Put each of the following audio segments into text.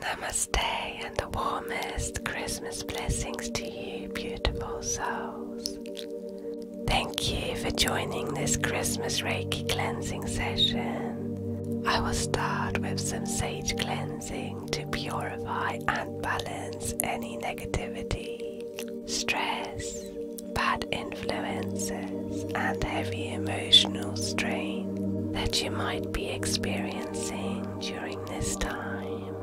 Namaste and the warmest Christmas blessings to you, beautiful souls. Thank you for joining this Christmas Reiki cleansing session. I will start with some sage cleansing to purify and balance any negativity, stress, bad influences, and heavy emotional strain that you might be experiencing during this time,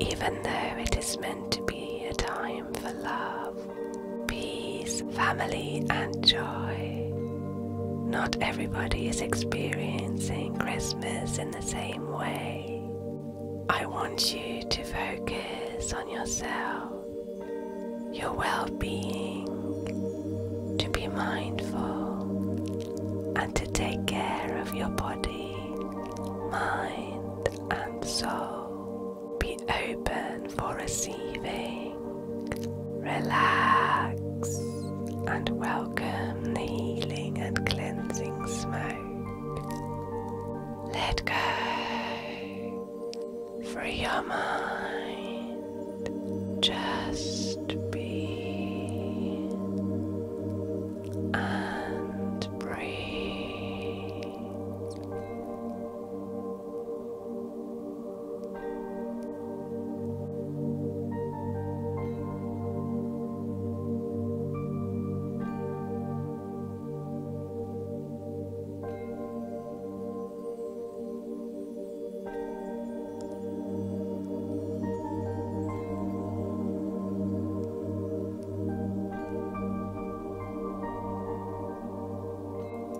even though it is meant to be a time for love, peace, family, and joy. Not everybody is experiencing Christmas in the same way. I want you to focus on yourself, your well being to be mindful and to take care of your body, mind, and soul. Be open for receiving. Relax and welcome the healing and cleansing smoke. Let go. Free your mind. Just be and breathe.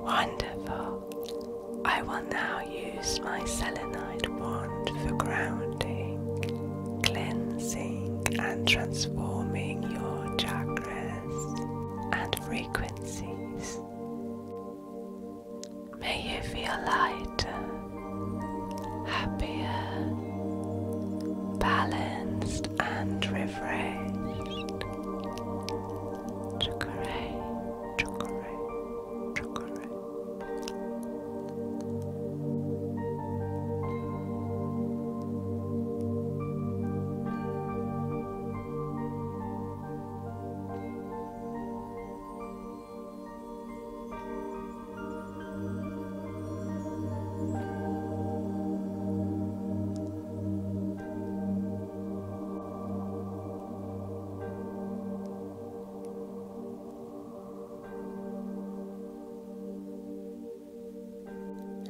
Wonderful. I will now use my selenite wand for grounding, cleansing, and transforming your chakras and frequencies. May you feel lighter, happier, balanced, and refreshed. Chukare, chukare, chukare.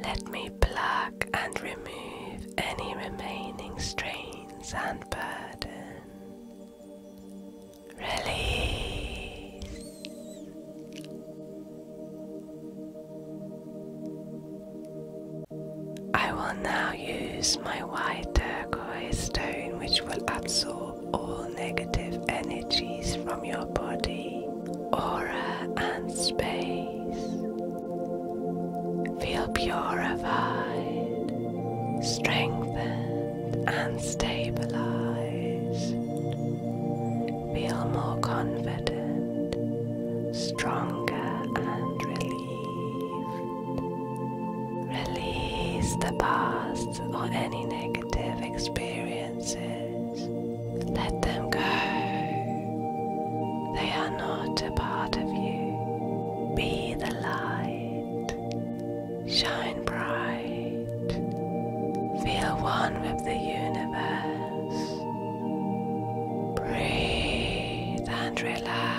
Let me pluck and remove any remaining strains and burdens. Release. I will now use my white turquoise stone, which will absorb all negative energies from your body, aura, and space. Feel purified, strengthened, and stabilized. Feel more confident, stronger, and relieved. Release the past or any negative experiences. Let them go. They are not greater part of you. Be the light. Shine bright. Feel one with the universe. Breathe and relax.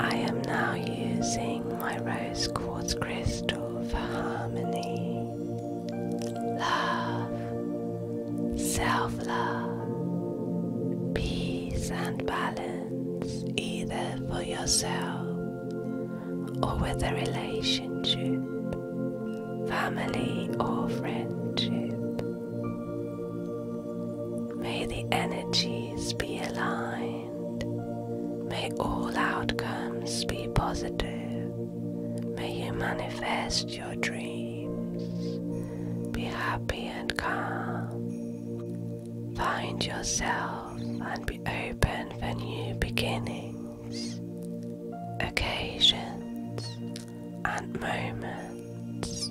I am now using my rose quartz crystal for harmony love, self love, peace and balance, either for yourself or with a relationship, family, or friendship. May the energies be aligned, may all outcomes be positive. May you manifest your dreams. Be happy and calm. Find yourself and be open for new beginnings, occasions, and moments.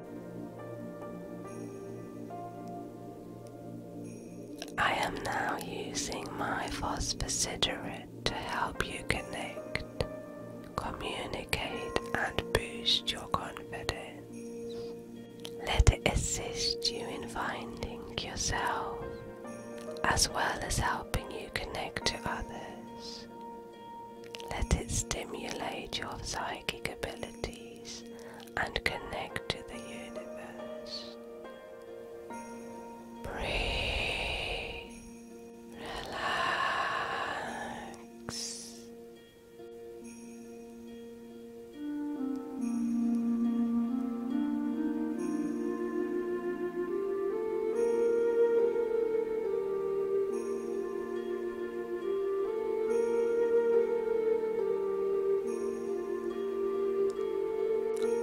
I am now using my phosphosiderate to help you connect, communicate, and boost your confidence. Let it assist you in finding yourself as well as helping you connect to others. Let it stimulate your psychic abilities and connect to the universe. Breathe, relax.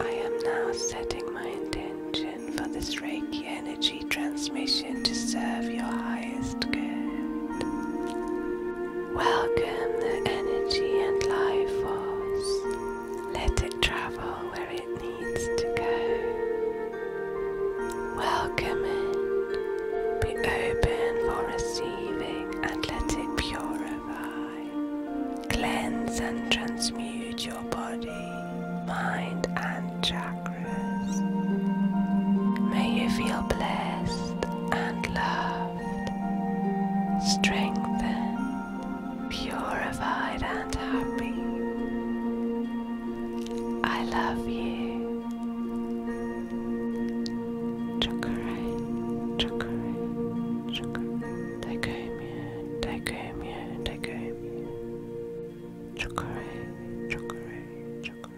I am now setting my intention for this Reiki energy transmission to serve your highest good. Welcome the energy and life force. Let it travel where it needs to go. Welcome it. Be open for receiving and let it purify. Cleanse and transmute your body, mind, and chakras. May you feel blessed and loved, strengthened, purified, and happy. I love you. Chakra, chakra, chakra. Dicomia, dicomia, dicomia. Chakra, chakra, chakra. Chakra,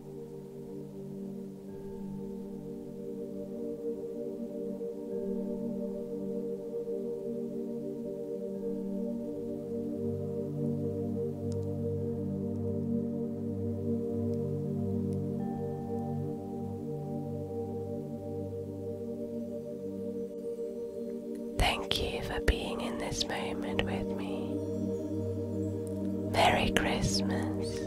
Thank you for being in this moment with me. Merry Christmas.